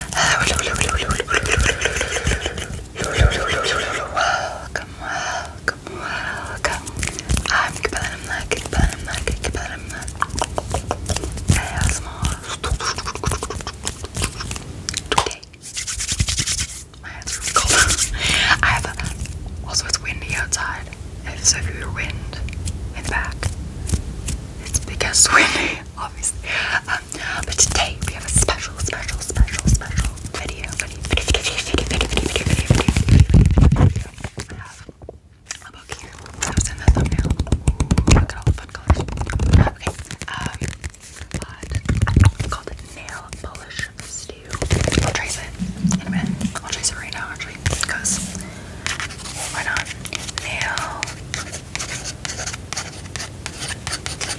Welcome, welcome, welcome. I'm Kibanamna, Kibanamna, Kibanamna. ASMR. Today, my hands are really cold. I have a, also it's windy outside. If so, if you hear wind in the back, it's because it's windy, obviously. I but today we have a special, special, special, special video. Video, video, video, video, video, video, video, video, video. I have a book I was in the thumbnail. Look at all the fun colors. Okay. Um, but it's called nail polish stew. I'll trace it in a minute. I'll trace it right now actually because why not? Nail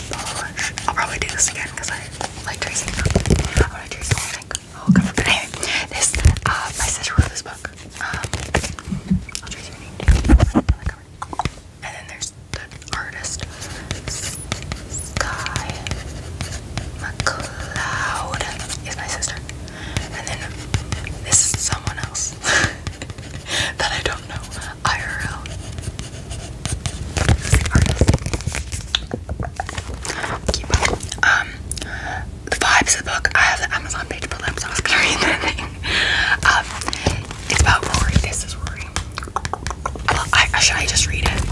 Polish. I'll probably do this again because I like tracing them. I want to trace the whole thing. this, uh, my sister wrote this book. Um, I'll trace your name down And then there's the artist, Sky McCloud, is my sister. And then this is someone else. that I don't know IRL. Um, the vibes of the book. I have the Amazon page pulled up, so I was gonna read that thing. Um, it's about Rory. This is Rory. should I just read it?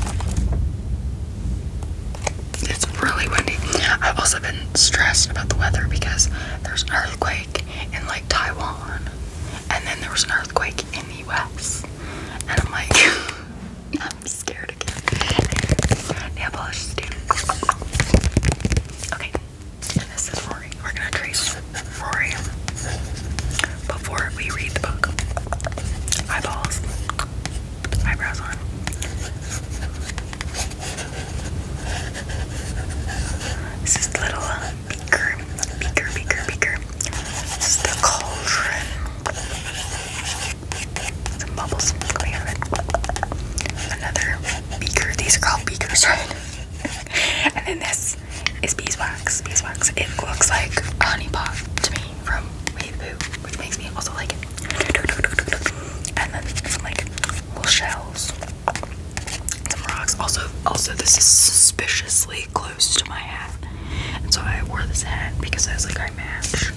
It's really windy. I've also been stressed about the weather because there's an earthquake and like Taiwan, and then there was an earthquake in the U.S. And I'm like, I'm scared again. Nail polish is Okay, this is Rory. We're gonna trace Rory before we read the book. Eyeballs, eyebrows on. This is the little uh, beaker, beaker, beaker, beaker. This is the cauldron. Some bubbles coming out Another beaker. These are called beakers, right? and then this is beeswax. Beeswax. It looks like a honey pot to me from Wave Poo, which makes me also like it. And then like well, shells, some rocks. Also, also this is suspiciously close to my hat, and so I wore this hat because I was like, I match.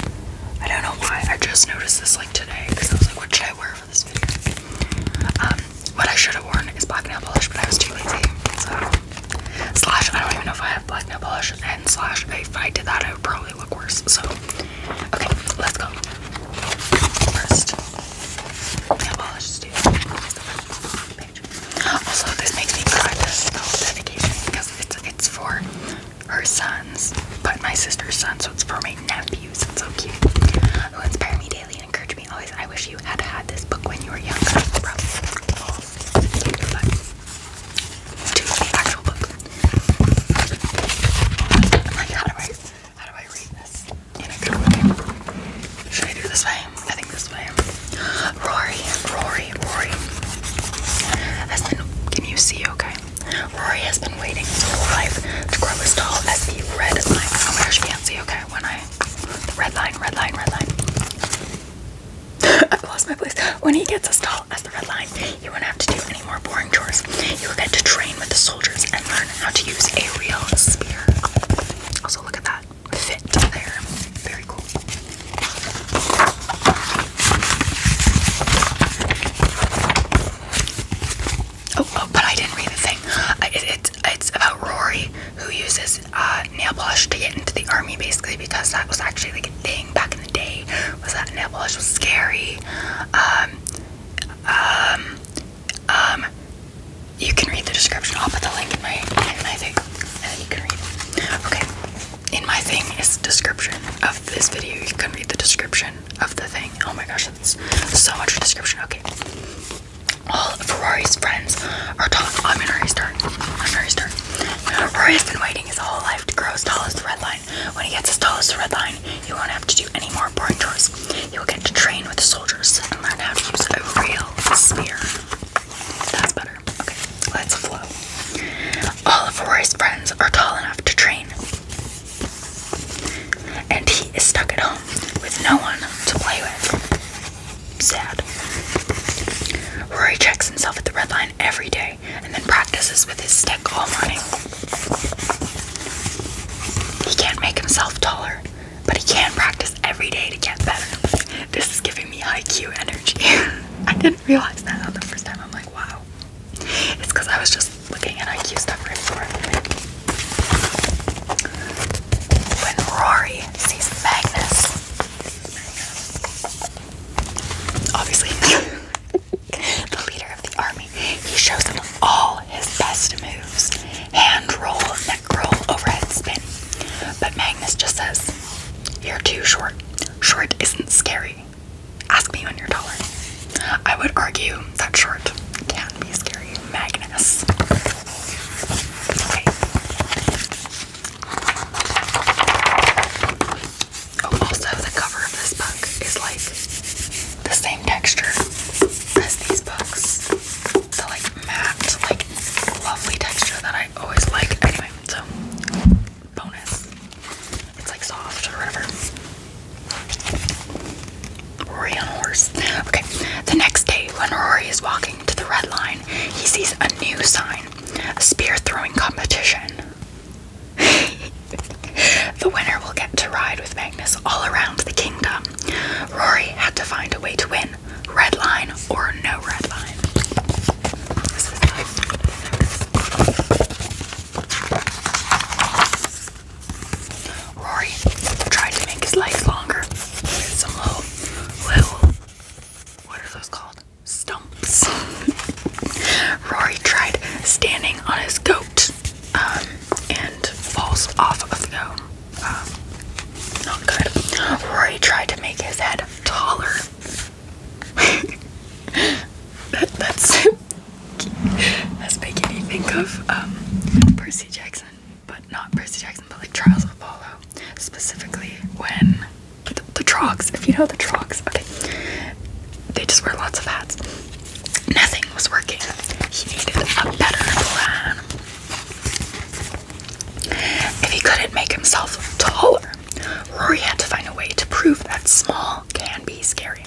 I don't know why. I just noticed this like today because I was like, what should I wear for this video? Um, what I should have worn is black nail polish, but I was too lazy. So slash, I don't even know if I have black nail polish, and slash, if I did that, I would probably look worse. So okay, let's go. First, nail polish also this makes me cry this dedication because it's it's for her sons but my sister's son so it's for my nephews it's so cute who inspire me daily and encourage me always I wish you had had this book when you were younger probably the actual book how do I how do I read this in a good way. Should I do this way? I think this way. Rory, Rory, Rory. Has been, can you see okay? Rory has been waiting his whole life to grow as tall as the red line. Oh my gosh, you can't see okay when I, the red line, red line, red line. I've lost my place. When he gets as tall as the red line, you won't have to do any more boring chores. You will get to train with the soldiers and learn how to use a real spear. Also, look at that fit there. Very cool. Oh, oh but I didn't read the thing. I, it's about Rory who uses uh, nail polish to get into the army, basically, because that was actually like a thing back in the day. Was that nail polish was scary? Um, um, um, you can read the description. I'll put the link in my in my thing, and you can read. Okay. In my thing is description of this video. You can read the description of the thing. Oh my gosh, that's so much description. Okay. All of Rory's friends are tall. I'm in a Rory's turn. I'm in Rory's turn. Rory has been waiting his whole life to grow as tall as the red line. When he gets as tall as the red line, you won't have to do any more boring chores. You'll get to train with the soldiers and learn how to use a real spear. That's better. Okay, let's flow. All of Rory's friends are tall enough to train. And he is stuck at home with no one to play with. Sad. Rory checks himself at the red line every day and then practices with his stick all morning. He can't make himself taller, but he can practice every day to get better. This is giving me IQ energy. I didn't realize that on the first time. I'm like, wow. It's because I was just looking at IQ stuff before. When Rory sees Magnus. Obviously, the leader of the army. He shows him all his best moves hand roll, neck roll, overhead spin. But Magnus just says, You're too short. Short isn't scary. Ask me when you're taller. I would argue that short can be scary. Magnus. Oh, also, the cover of this book is like the same texture as these books. The like matte, like lovely texture that I always like. Anyway, so bonus. It's like soft or whatever. Rory on a horse. Okay. The next day, when Rory is walking to the red line, he sees a new sign. A spear throwing competition. the winner will get to ride with Magnus all around the kingdom. Rory had to find a way to win. Red line or no red line. Rory tried to make his legs longer some little, what are those called? Stumps. Rory tried standing on his goat um, and falls off of the um, not good. Rory tried to make his head taller. that, that's that's making me think of um, Percy Jackson, but not Percy Jackson, but like Charles of Apollo, specifically when the, the Trogs. If you know the Trogs, okay, they just wear lots of hats nothing was working. He needed a better plan. If he couldn't make himself taller, Rory had to find a way to prove that small can be scary.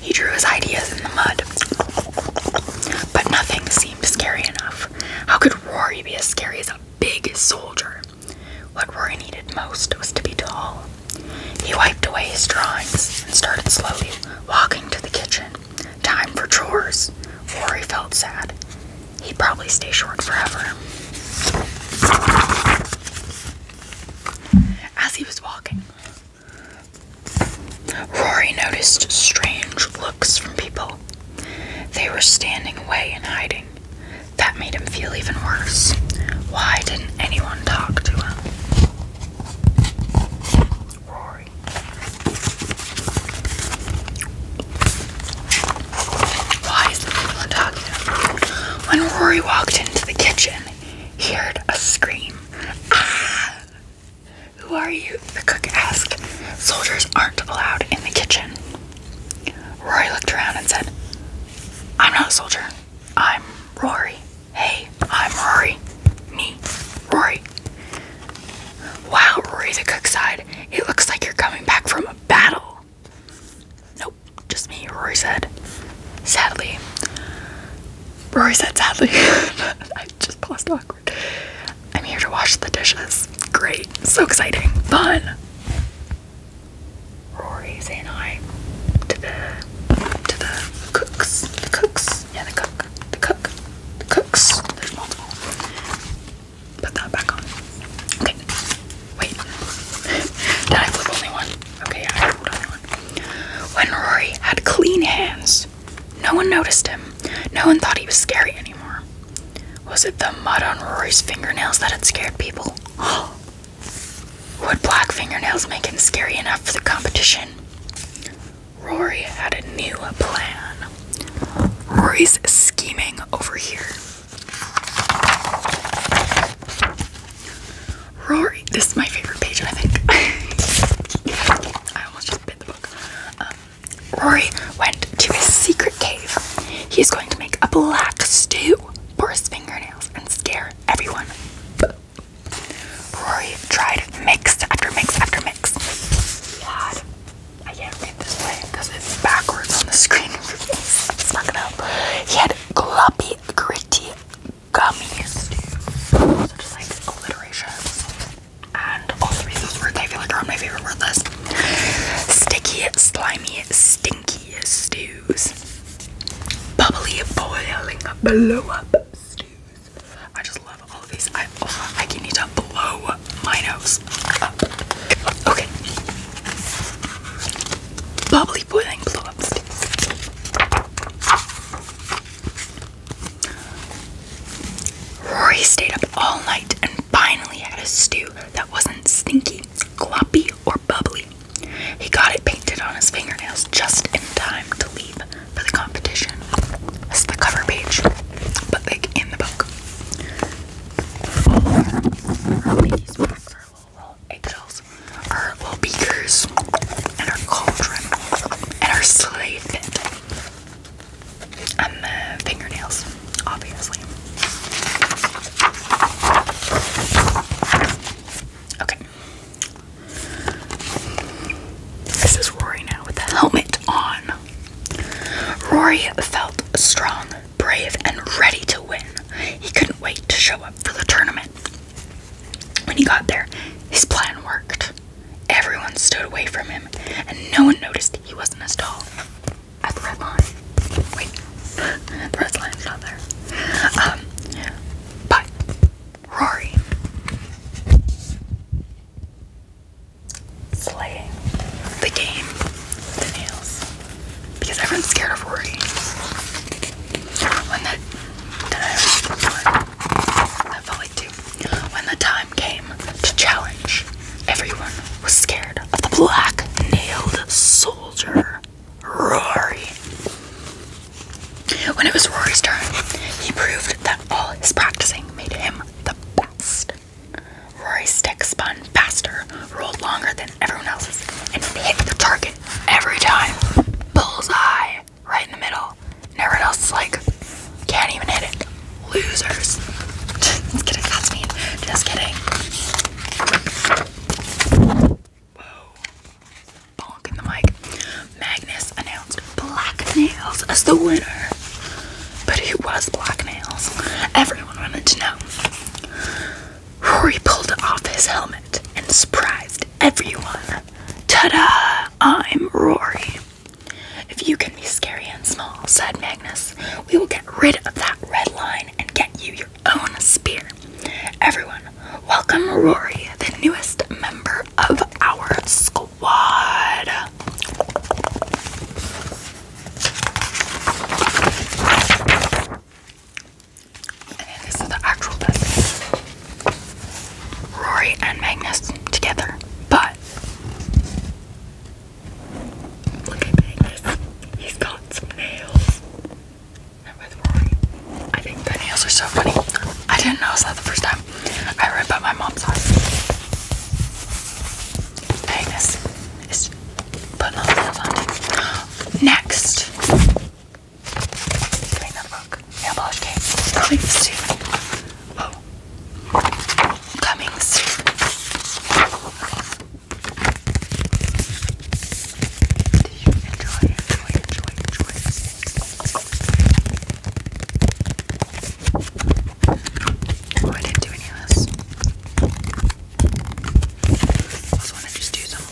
He drew his ideas in the mud, but nothing seemed scary enough. How could Rory be as scary as a big soldier? What Rory needed most was to be tall. He wiped away his drawings and started slowly walking to the kitchen. Time for chores. Rory felt sad. He'd probably stay short forever. As he was walking, Rory noticed strange looks from people. They were standing away and hiding. That made him feel even worse. Why didn't anyone talk to him? Rory why is the talking? When Rory walked into the kitchen, he heard a scream. Ah! Who are you? The cook asked. Soldiers aren't allowed in the kitchen. Rory looked around and said, I'm not a soldier. I'm Rory. Hey, I'm Rory. Me, Rory. Wow, Rory the cook sighed. It looks like you're coming back from a battle. Nope, just me, Rory said. Sadly. Rory said sadly. I just paused awkward. I'm here to wash the dishes. Great. So exciting. Fun. Rory's saying I to the to the cooks. The cooks. Yeah, the cook the cook, the cooks. There's multiple. Put that back on. Okay. Wait. Did I flip only one? Okay, I flipped only one. When Rory had clean hands, no one noticed him. No one thought he was scary anymore. Was it the mud on Rory's fingernails that had scared people? Would black fingernails make him scary enough for the competition? Rory had a new plan. Rory's scheming over here. Rory, this is my favorite page, I think. I almost just bit the book. Um, Rory went to his secret cave. He's going to make a black stew for his fingernails and scare everyone. Rory tried mix after mix after mix. God, I can't read this way because it's backwards on the screen. it's gonna help. He had gloppy, gritty gummies, dude. So just like alliteration. And all three of those words I feel like are on my favorite word list. Sticky, slimy, stinky stews. Bubbly, boiling, blow up stews. I just love all of these. I I can need to blow my nose Okay. Bubbly boiling blow up Rory stayed up all night and finally had a stew that wasn't stinky, gloppy, or bubbly. He got it painted on his fingernails just in time to leave for the competition. That's the cover page, but like in the book. Our ladies packed our little, little eggshells, our little beakers, and our cauldron, and our sleigh and the fingernails, obviously. Okay, this is Rory now with the helmet on. Rory felt strong, brave, and ready to win. He couldn't wait to show up for the tournament. When he got there, his plan worked. Everyone stood away from him, and no one noticed he wasn't as tall. At Rory. Slaying the game the nails. Because everyone's scared of Rory. When that time came to challenge, everyone was scared of the black nailed soldier Rory. When it was Rory's turn, he proved that all his practicing made him the best. Rory's stick spun faster, rolled longer than everyone else's, and hit the target every time. Bullseye! Right in the middle. everyone else is like, can't even hit it. Losers. Just kidding, that's mean. Just kidding. Whoa. Bonk in the mic. Magnus announced Black Nails as the winner. But who was Black Nails? Everyone wanted to know. Rory pulled off his helmet and surprised everyone. Tada! I'm Rory. If you can be scary and small, said Magnus, we will get rid of that red line and get you your own spear. Everyone, welcome Rory, the newest member of our squad. this is the actual message. Rory and Magnus together, but look at Magnus. He's got some nails. I think the nails are so funny. I didn't know it's not the first time I rip up my mom's house. Angus is putting all nails on. Next, Coming soon. Oh, coming soon. enjoy, enjoy, enjoy, enjoy Oh, I didn't do any of this. Also, want to just do some.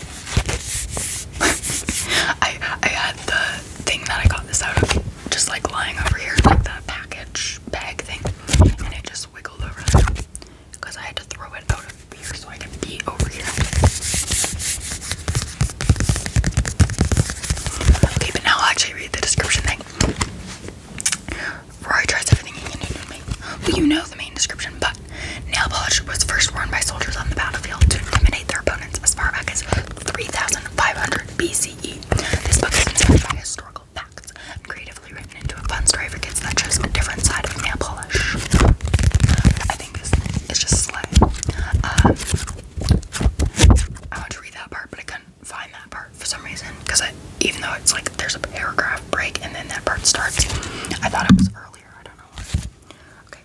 I I had the thing that I got this out of just like lying over here, like the package bag thing, and it just wiggled over because I had to throw it out of here so I could be over here. Okay, but now I'll actually read the description thing. Roy tries everything he can do to me. Well, you know the main description, but nail polish was first worn by soldiers on the battlefield to intimidate their opponents as far back as 3500 BCE. This book is inspired by historical facts creatively written into a fun story for kids that shows a different side of nail polish. I think it's, it's just slang. Uh, I want to read that part, but I couldn't find that part for some reason. Because I, even though it's like there's a paragraph break and then that part starts, I thought it was earlier. I don't know Okay.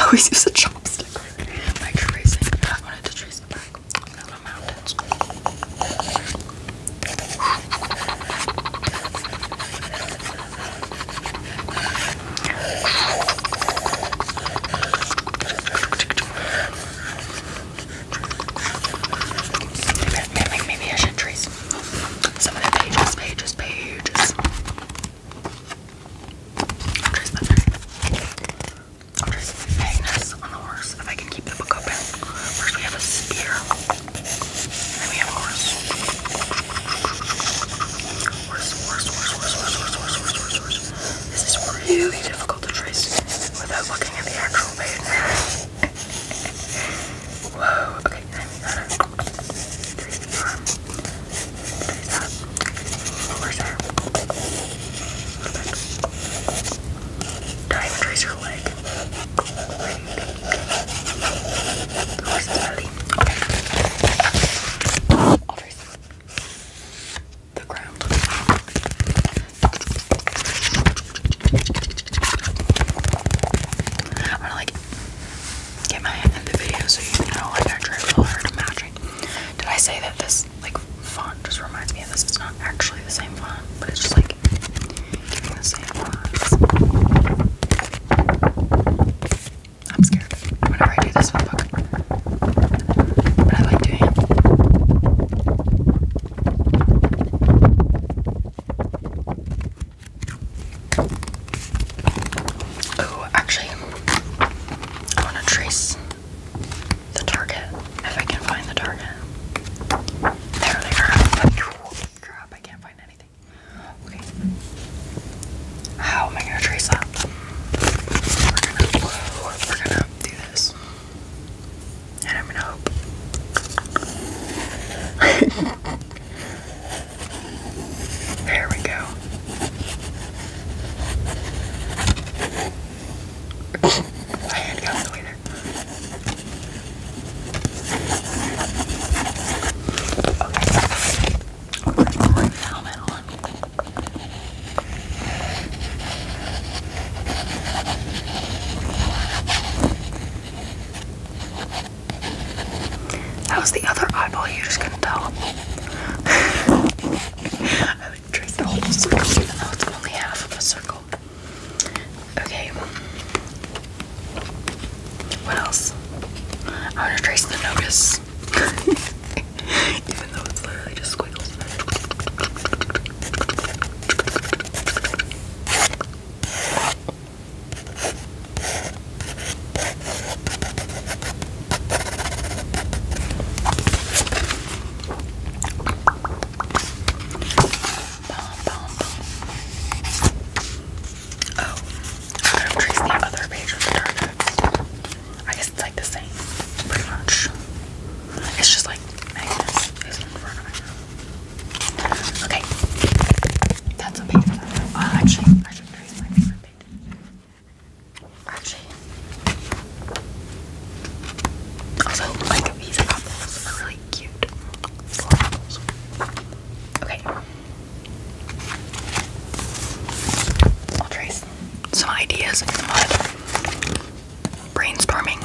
I always use a chopstick. My tracing. I wanted to trace back. Little mountains. Maybe, maybe I should trace some of the pages, pages, pages. I'll trace that there. I'll trace Magnus on the horse if I can keep the book open. First, we have a spear, and then we have a horse. Worse, worse, worse, worse, worse, worse, worse, worse, worse, worse. This is really difficult to trace without looking at the actual page. Whoa, okay, now we gotta trace the arm. Trace that. Where's her? Perfect. Don't even trace her leg. Wait. Where's the belly? The ground. I'm gonna like get my in the video so you know I try really hard to matching. Did I say that this like font just reminds me of this? It's not actually the same font, but it's just like giving the same fonts. I'm scared whenever I do this one, book. But I like doing it. Oh, actually, I want to trace the target if I can find the target. There they are. Crap, I can't find anything. How am I gonna trace that? We're gonna do this. And I'm gonna hope. there we go. My hand got the way there. Where's That was the other eyeball, you are just gonna tell. I would trace the whole circle even though it's only half of a circle. Okay. What else? i want to trace the notice. Even though it's literally just squiggles. Oh, I don't trace the other page with the targets. I guess it's like the same, pretty much. It's just like Magnus Okay, that's a page. Uh, actually, I should trace my favorite page. Actually, also like these are really cute. Okay some ideas in the mud. Brainstorming.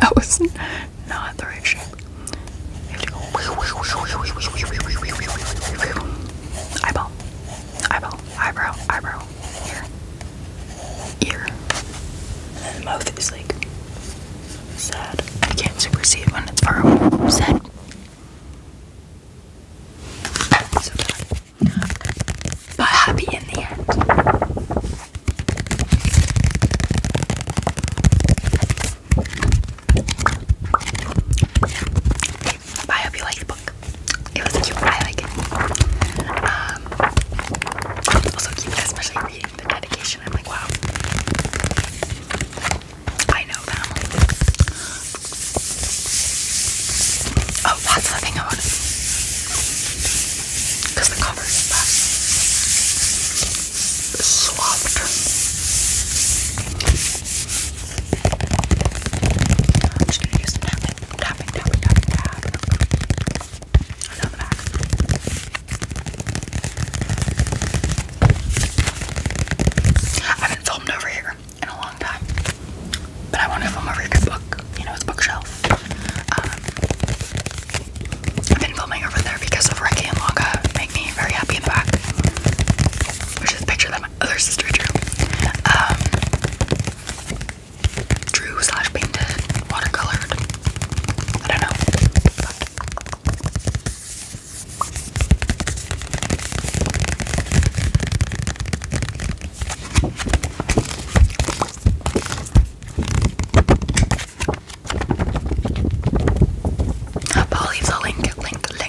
that was not the right shape. Eyeball. Eyeball, eyebrow, eyebrow, ear, ear. And the mouth is like sad. I can't super see when it's far away. Sad. But happy in the end. I hope you like the book. It was cute. I like it. Um, also cute, especially reading the dedication. I'm like, wow. I know them. Oh, that's the thing I wanted. Because the cover is that I'm just gonna do tapping, tapping, tapping, tapping, tapping. back. I haven't filmed over here in a long time, but I want to film over here. Book, you know, it's bookshelf. Um, I've been filming over there because of Ricky and Longa. Make me very happy in the back. Which picture that other sister Drew. Um, drew slash painted, watercolored. I don't know. But... I'll leave the link, link, link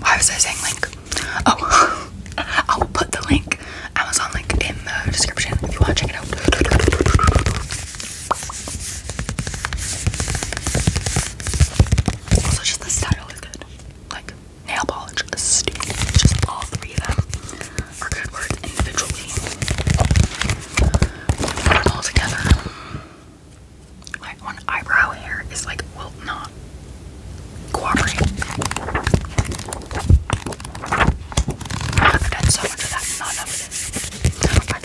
Why was I saying link? Oh, I will put the link, Amazon link, in the description if you want to check it out. Also, just the style is good. Like nail polish stupid. Just all three of them are good words individually. All together like one eyebrow here is like will not cooperate. I've done so much of that, not enough of this. I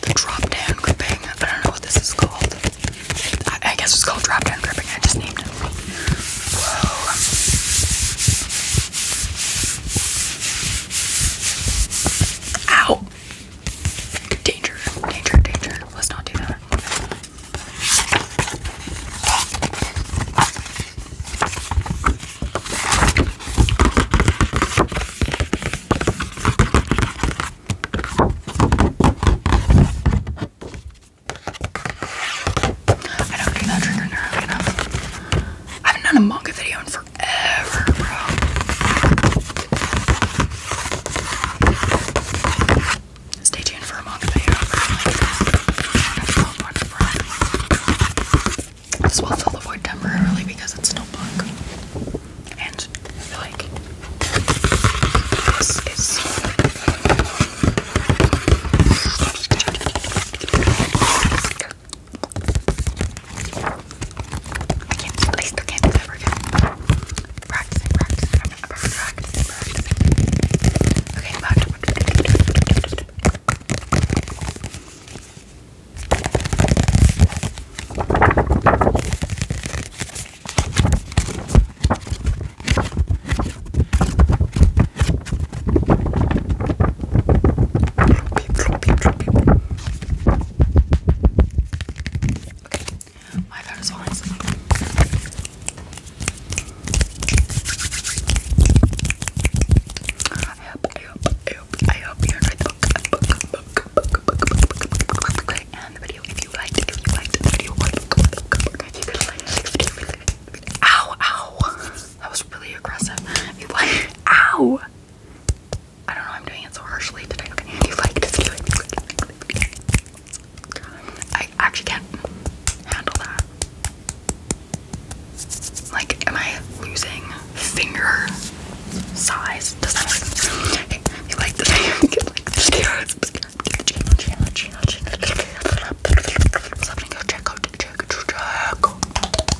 the drop down gripping. I don't know what this is called. I, guess it's called drop down gripping. I just named it. Ow! Danger, danger, danger. Let's not do that. I don't do that trigger nearly enough. I haven't done a manga video in forever. Stay tuned for a manga video. This will fill the void temporarily because it's no And like I can't, at least I can't do that workout. Practicing, practicing, I'm practicing, practicing. Okay, back to what Floppy, Okay, my phone is I hope, I hope, I hope, I hope you enjoyed the book, book, book, book, book, book, book, book, and the video. If you liked, if you liked the video, book, book, book, book, if you could like the video, ow, ow, that was really aggressive. If you like, ow. I don't know, I'm doing it so harshly today. Okay, if you like just do it. I actually can't handle that. Like, am I losing finger size? Does that make sense? Okay, if you like this video, like this video, channel, channel, channel, channel. Something go check out, check, check out